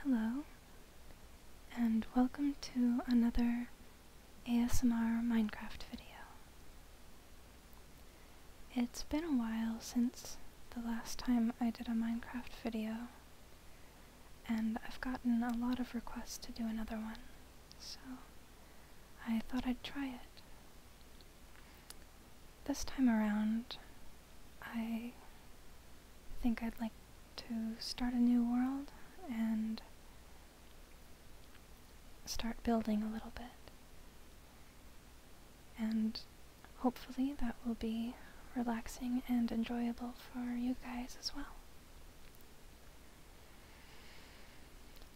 Hello, and welcome to another ASMR Minecraft video. It's been a while since the last time I did a Minecraft video, and I've gotten a lot of requests to do another one, so I thought I'd try it. This time around, I think I'd like to start a new world and start building a little bit. And hopefully that will be relaxing and enjoyable for you guys as well.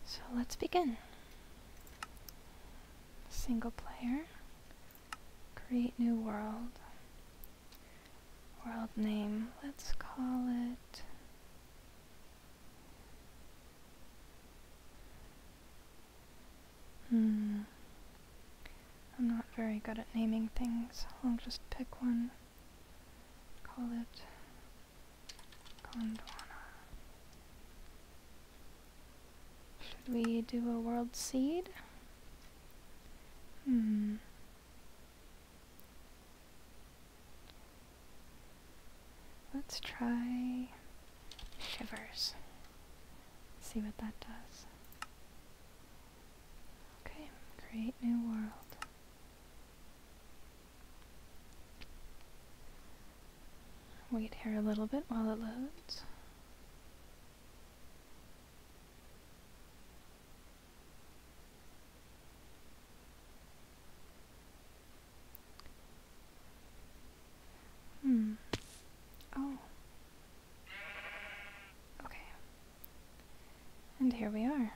So let's begin. Single player create new world. World name, let's call it Hmm. I'm not very good at naming things. I'll just pick one. Call it Gondwana. Should we do a world seed? Hmm. Let's try shivers. See what that does. Okay, create new world. Wait here a little bit while it loads. Hmm. Oh. Okay. And here we are.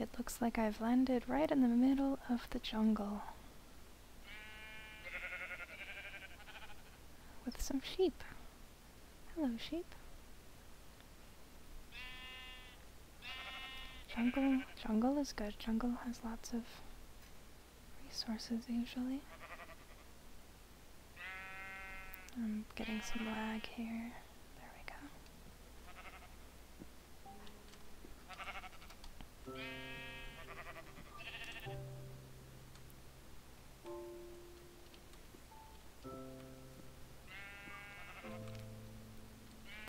It looks like I've landed right in the middle of the jungle with some sheep. Hello, sheep. Jungle, jungle is good. Jungle has lots of resources usually. I'm getting some lag here. There we go.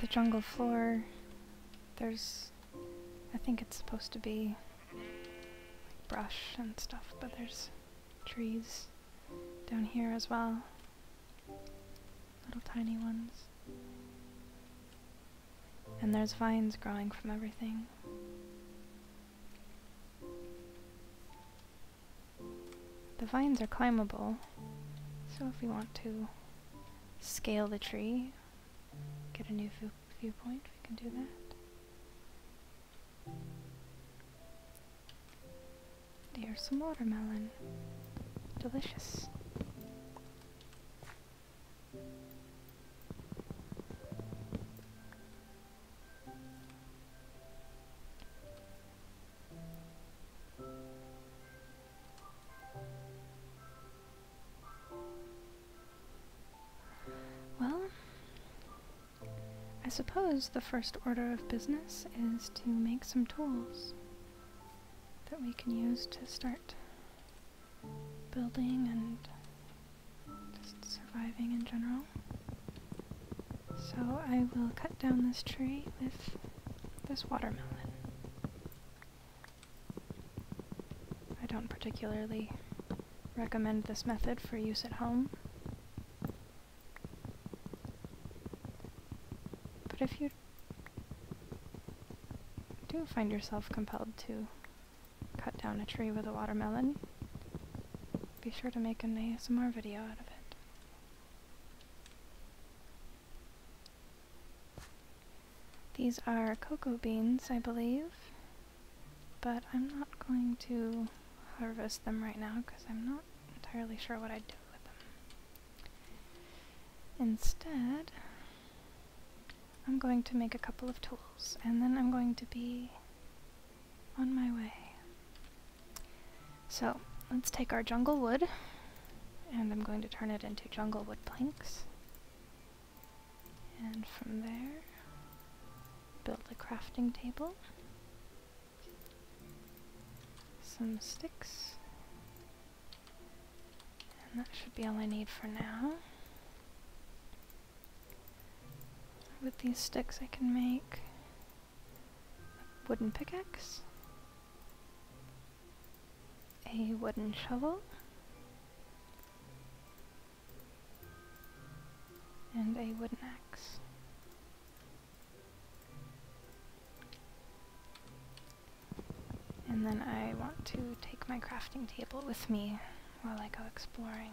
The jungle floor, there's, I think it's supposed to be like brush and stuff, but there's trees down here as well. Little tiny ones and there's vines growing from everything. The vines are climbable, so if we want to scale the tree, get a new viewpoint, we can do that. Here's some watermelon. Delicious. Well, I suppose the first order of business is to make some tools that we can use to start building and just surviving in general. So I will cut down this tree with this watermelon. I don't particularly recommend this method for use at home. But if you do find yourself compelled to cut down a tree with a watermelon, be sure to make an ASMR video out of it. These are cocoa beans, I believe, but I'm not going to harvest them right now because I'm not entirely sure what I'd do with them. Instead, I'm going to make a couple of tools and then I'm going to be on my way. So let's take our jungle wood and I'm going to turn it into jungle wood planks. And from there, build a crafting table, some sticks, and that should be all I need for now. With these sticks I can make a wooden pickaxe, a wooden shovel, and a wooden axe. And then I want to take my crafting table with me while I go exploring.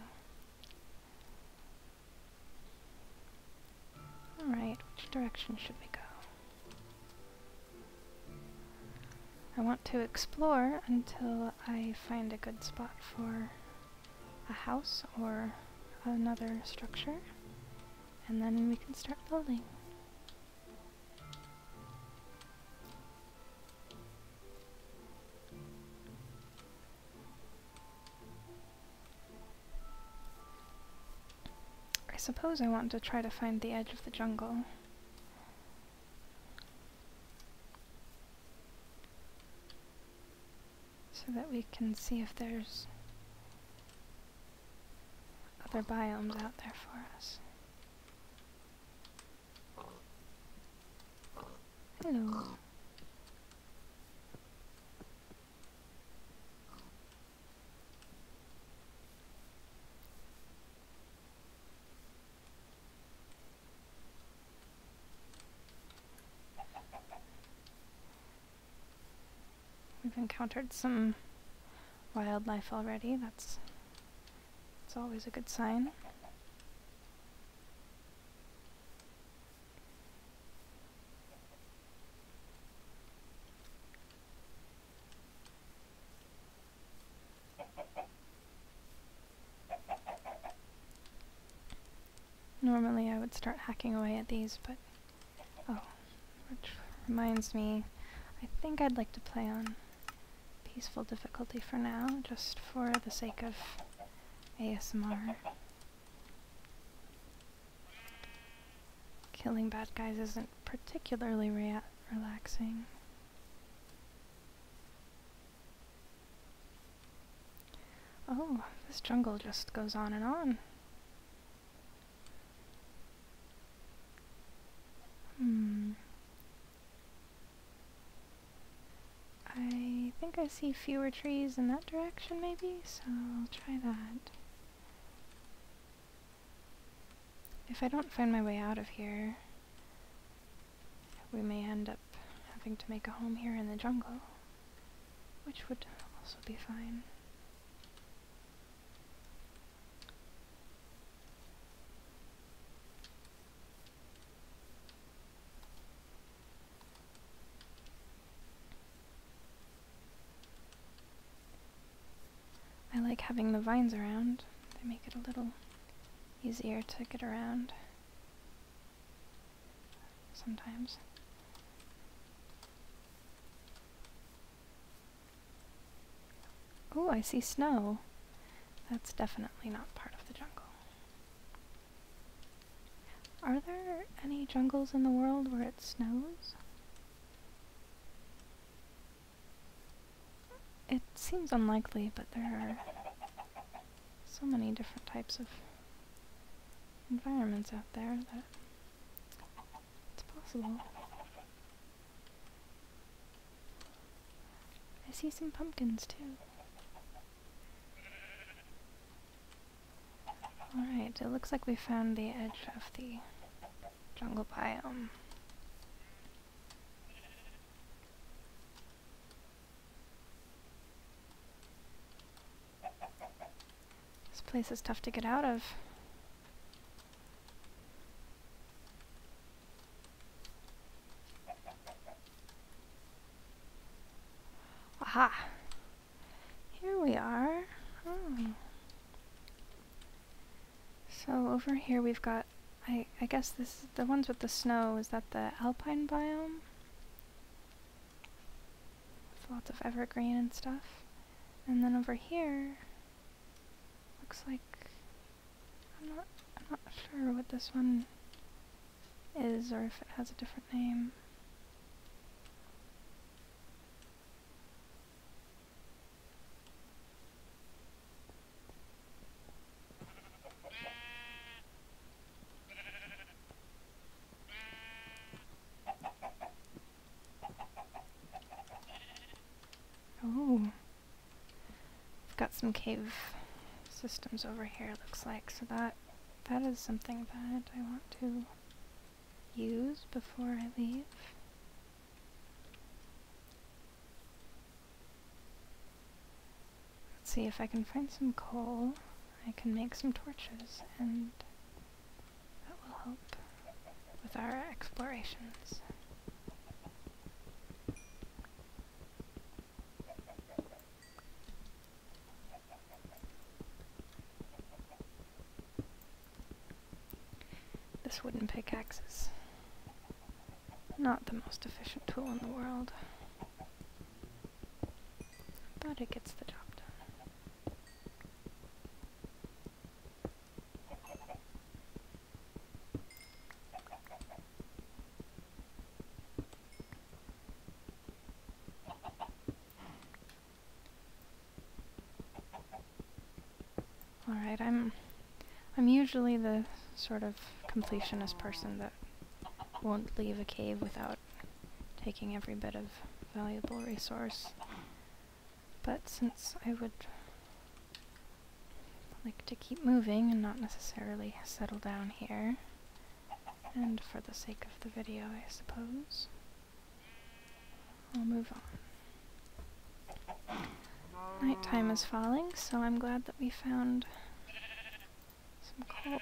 Alright, which direction should we go? I want to explore until I find a good spot for a house or another structure, and then we can start building. I suppose I want to try to find the edge of the jungle. So that we can see if there's other biomes out there for us. Hello. We've encountered some wildlife already, that's it's always a good sign. Normally I would start hacking away at these, but... Oh, which reminds me, I think I'd like to play on peaceful difficulty for now, just for the sake of ASMR. Killing bad guys isn't particularly relaxing. Oh, this jungle just goes on and on. Hmm. I think I see fewer trees in that direction maybe, so I'll try that. If I don't find my way out of here, we may end up having to make a home here in the jungle, which would also be fine. I like having the vines around. They make it a little easier to get around sometimes. Oh, I see snow. That's definitely not part of the jungle. Are there any jungles in the world where it snows? It seems unlikely, but there are so many different types of environments out there that it's possible. I see some pumpkins too. Alright, it looks like we found the edge of the jungle biome. This place is tough to get out of. Aha! Here we are. Hmm. So over here we've got, I, I guess this the ones with the snow, is that the alpine biome? With lots of evergreen and stuff. And then over here, looks like I'm not, I'm not sure what this one is or if it has a different name. Oh. I've got some cave systems over here, looks like, so that that is something that I want to use before I leave. Let's see if I can find some coal. I can make some torches, and that will help with our explorations. This wooden pickaxe is not the most efficient tool in the world, but it gets the job done. Alright, I'm I'm usually the sort of completionist person that won't leave a cave without taking every bit of valuable resource. But since I would like to keep moving and not necessarily settle down here. And for the sake of the video, I suppose, I'll move on. Nighttime is falling, so I'm glad that we found some coal.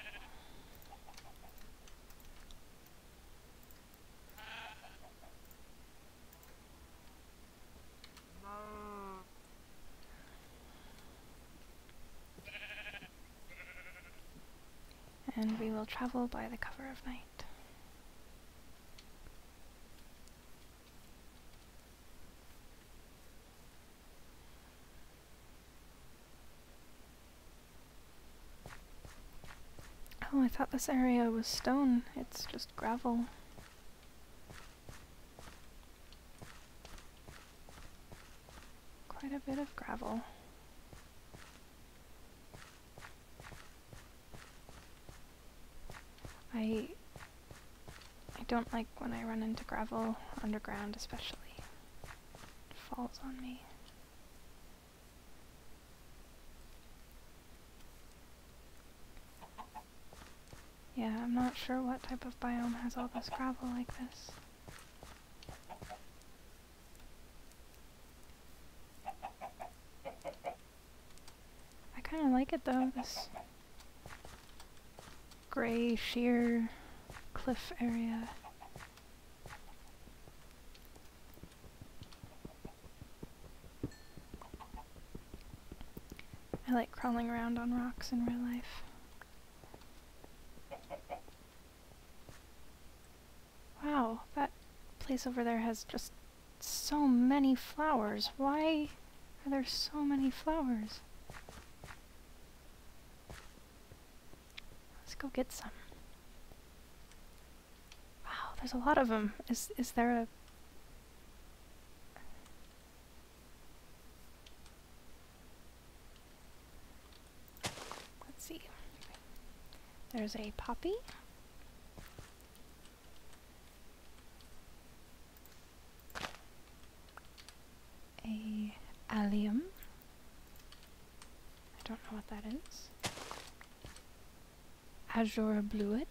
And we will travel by the cover of night. Oh, I thought this area was stone. It's just gravel. Quite a bit of gravel. I I don't like when I run into gravel underground especially. It falls on me. Yeah, I'm not sure what type of biome has all this gravel like this. I kind of like it though, this gray, sheer cliff area. I like crawling around on rocks in real life. Wow, that place over there has just so many flowers. Why are there so many flowers? Let's go get some. Wow, there's a lot of them. Is, is there a Let's see. There's a poppy. A allium. I don't know what that is. Azure bluet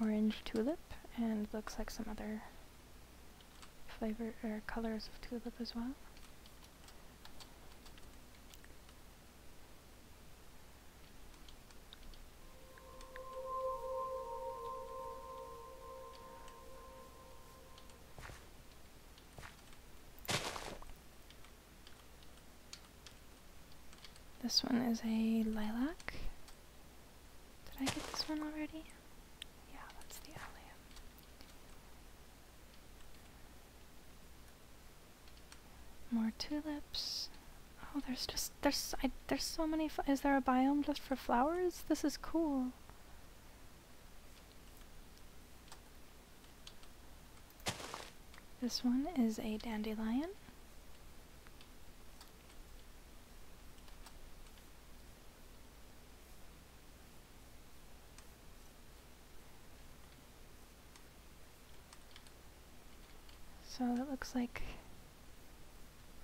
orange tulip and looks like some other flavor or colors of tulip as well. This one is a lilac. Did I get this one already? Yeah, that's the alley. More tulips. Oh, there's just there's there's so many. Is there a biome just for flowers? This is cool. This one is a dandelion. So it looks like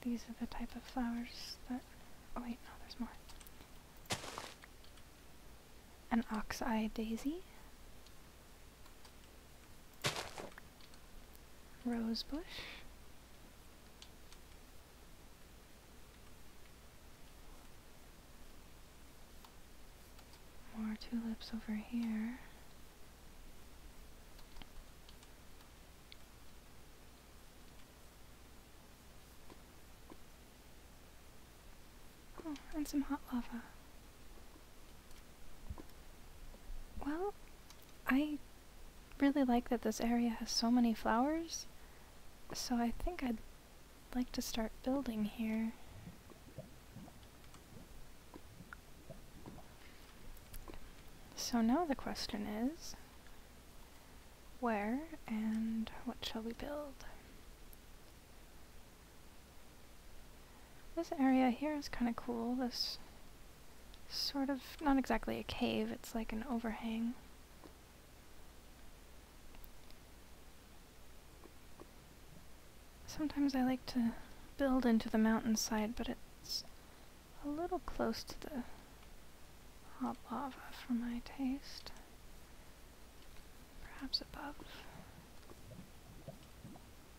these are the type of flowers that... Oh wait, no, there's more. An ox-eye daisy. Rosebush. More tulips over here. Oh, and some hot lava. Well, I really like that this area has so many flowers, so I think I'd like to start building here. So now the question is, where and what shall we build? This area here is kind of cool. This sort of, not exactly a cave, it's like an overhang. Sometimes I like to build into the mountainside, but it's a little close to the hot lava for my taste. Perhaps above.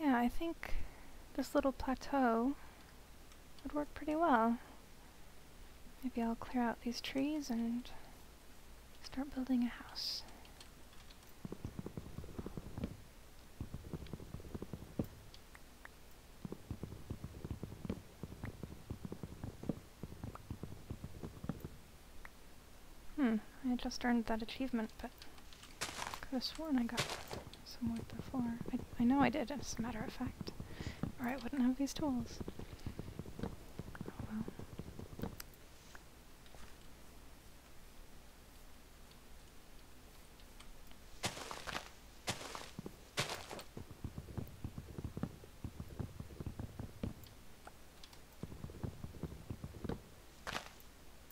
Yeah, I think this little plateau would work pretty well. Maybe I'll clear out these trees and start building a house. Hmm, I just earned that achievement, but could have sworn I got some wood before. I, I know I did, as a matter of fact. Or I wouldn't have these tools. Oh,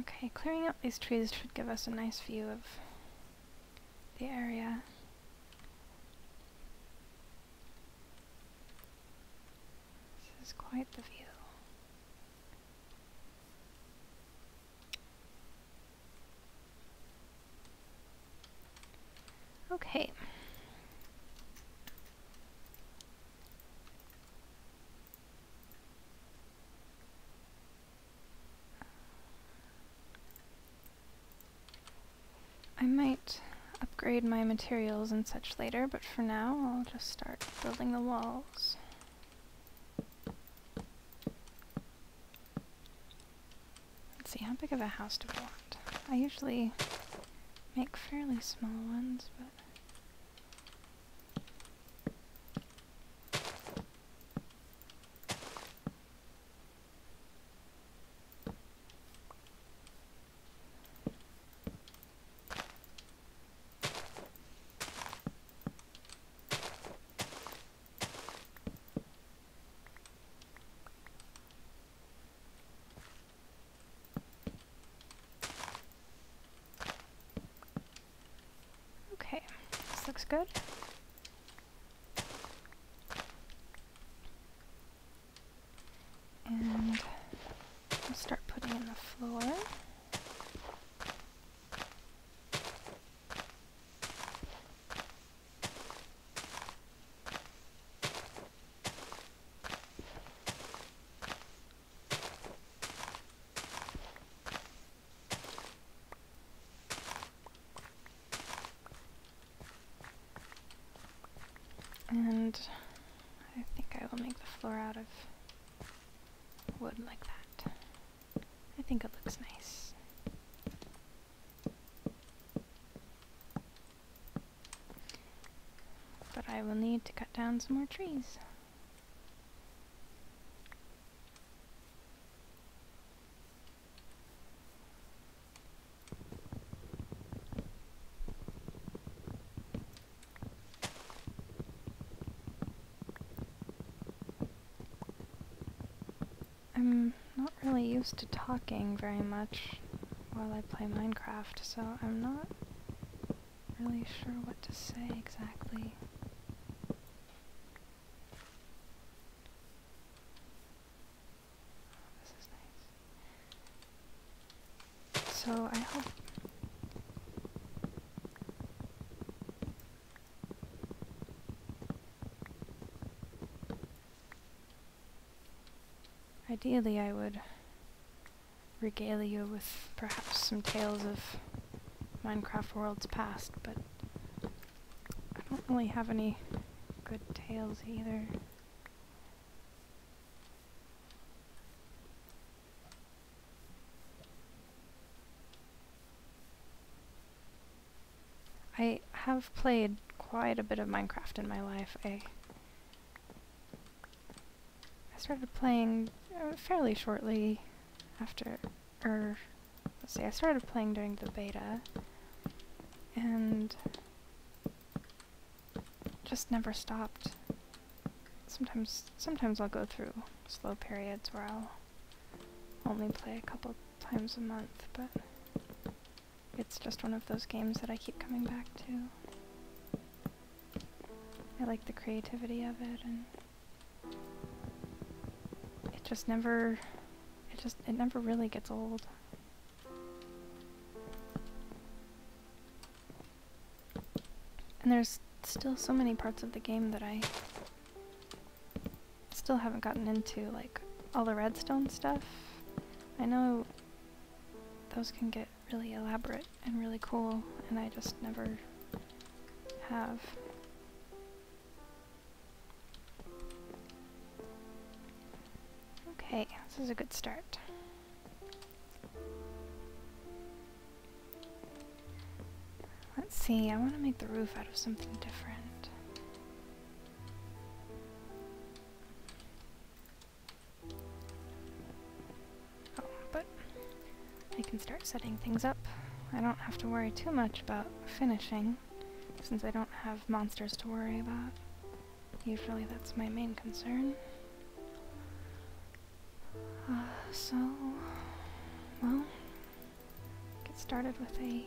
Okay, clearing up these trees should give us a nice view of the area. This is quite the view. Okay. I might upgrade my materials and such later, but for now I'll just start building the walls. Let's see, how big of a house do we want? I usually make fairly small ones, but... Okay, this looks good. And I'll start putting in the floor. And I think I will make the floor out of wood like that. I think it looks nice. But I will need to cut down some more trees. I'm not really used to talking very much while I play Minecraft, so I'm not really sure what to say exactly. Oh, so I hope Ideally, I would regale you with perhaps some tales of Minecraft worlds past, but I don't really have any good tales either. I have played quite a bit of Minecraft in my life. I, I started playing uh, fairly shortly after or let's see, I started playing during the beta, and just never stopped. Sometimes, sometimes I'll go through slow periods where I'll only play a couple times a month, but it's just one of those games that I keep coming back to. I like the creativity of it, and it just never it just, it never really gets old. And there's still so many parts of the game that I still haven't gotten into, like all the redstone stuff. I know those can get really elaborate and really cool, and I just never have. Okay, this is a good start. Let's see, I want to make the roof out of something different. Oh, but I can start setting things up. I don't have to worry too much about finishing since I don't have monsters to worry about. Usually that's my main concern. Uh, so, well, get started with a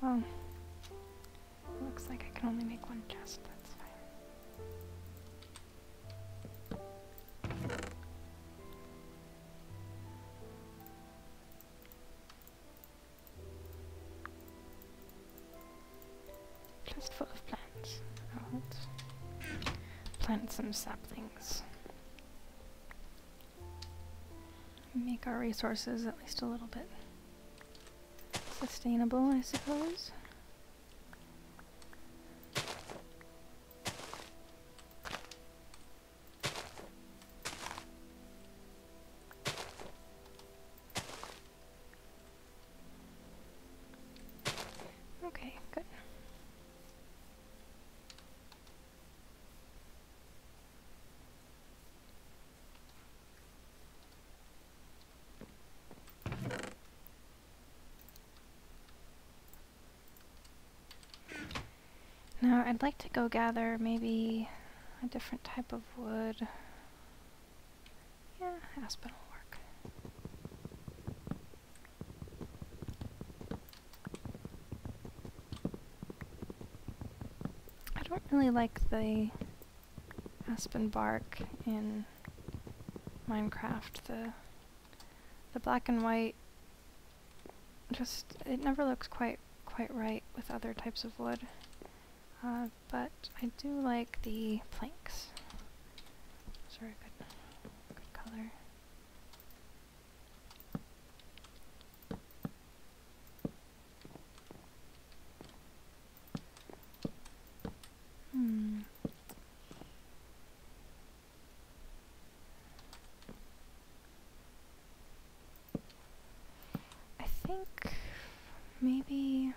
well, looks like I can only make one chest, that's fine. Just full of plants. Oh, plant some saplings. Make our resources at least a little bit sustainable, I suppose. Okay, good. Now I'd like to go gather maybe a different type of wood. Yeah, aspen will work. I don't really like the aspen bark in Minecraft. The the black and white just it never looks quite quite right with other types of wood. Uh, but I do like the planks. Sorry, good color. Hmm. I think maybe.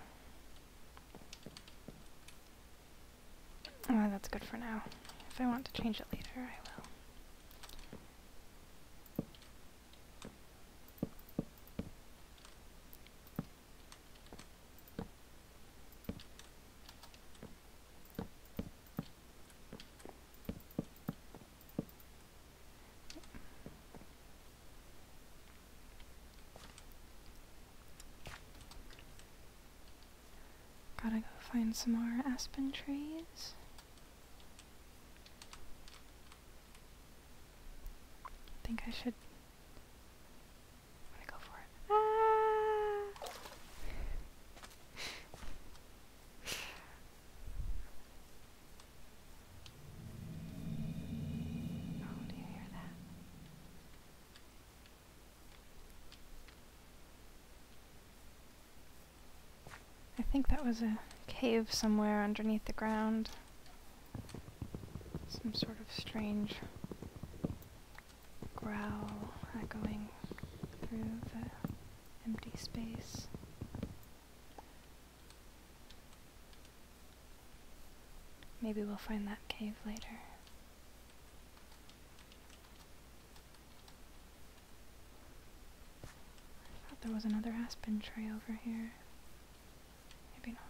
Oh, that's good for now. If I want to change it later, I will. Gotta go find some more aspen trees. I think I should. i go for it. Ah. Oh, I think that was a cave somewhere underneath the ground some sort of strange growl echoing through the empty space. Maybe we'll find that cave later. I thought there was another aspen tree over here. Maybe not.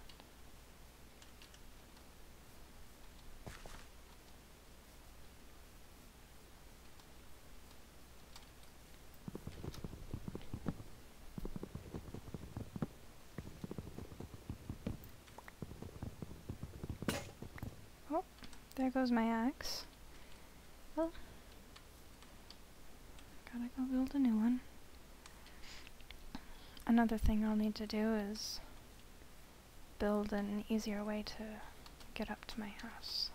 Oh, there goes my axe. Well, Gotta go build a new one. Another thing I'll need to do is build an easier way to get up to my house.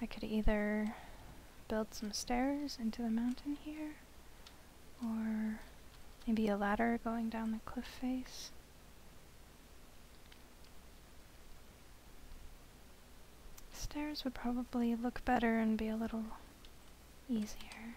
I could either build some stairs into the mountain here, or maybe a ladder going down the cliff face. Stairs would probably look better and be a little easier.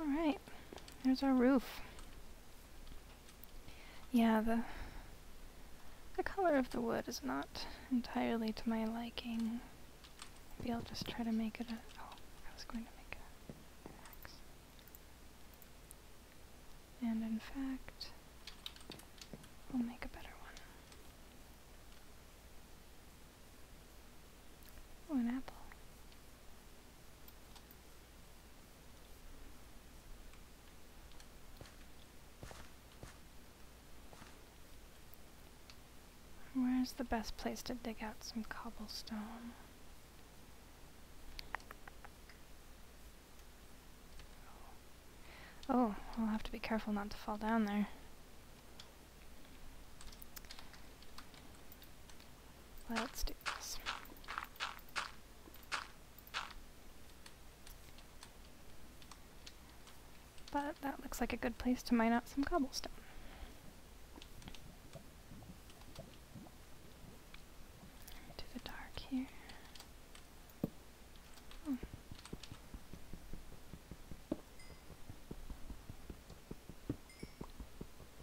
Alright, there's our roof. Yeah, the, the color of the wood is not entirely to my liking. Maybe I'll just try to make it a... Oh, I was going to make a And in fact, we'll make a better one. Oh, apple. Where's the best place to dig out some cobblestone? Oh, I'll have to be careful not to fall down there. Let's do this. But that looks like a good place to mine out some cobblestone. To the dark here.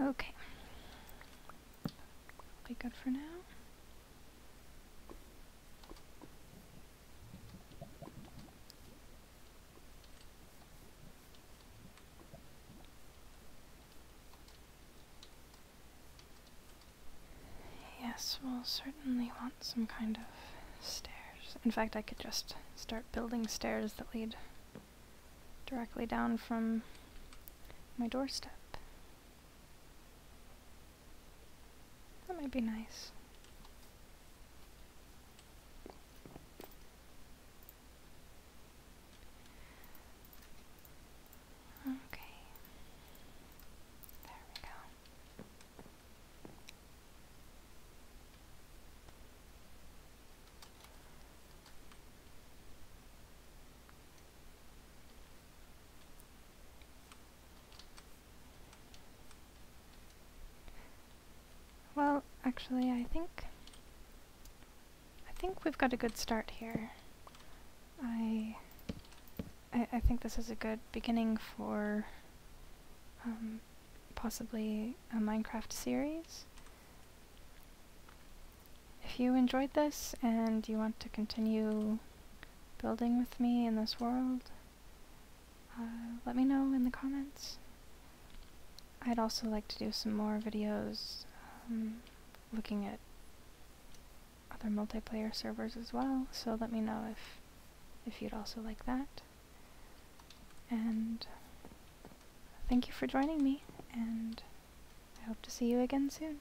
Okay. Be good for now. Yes, we'll certainly want some kind of stairs. In fact, I could just start building stairs that lead directly down from my doorstep. That might be nice. Okay. There we go. Well, actually, I think... I think we've got a good start here. I... I, think this is a good beginning for... Um, possibly a Minecraft series. If you enjoyed this and you want to continue building with me in this world, uh, let me know in the comments. I'd also like to do some more videos um, looking at other multiplayer servers as well, so let me know if, if you'd also like that. And thank you for joining me, and I hope to see you again soon.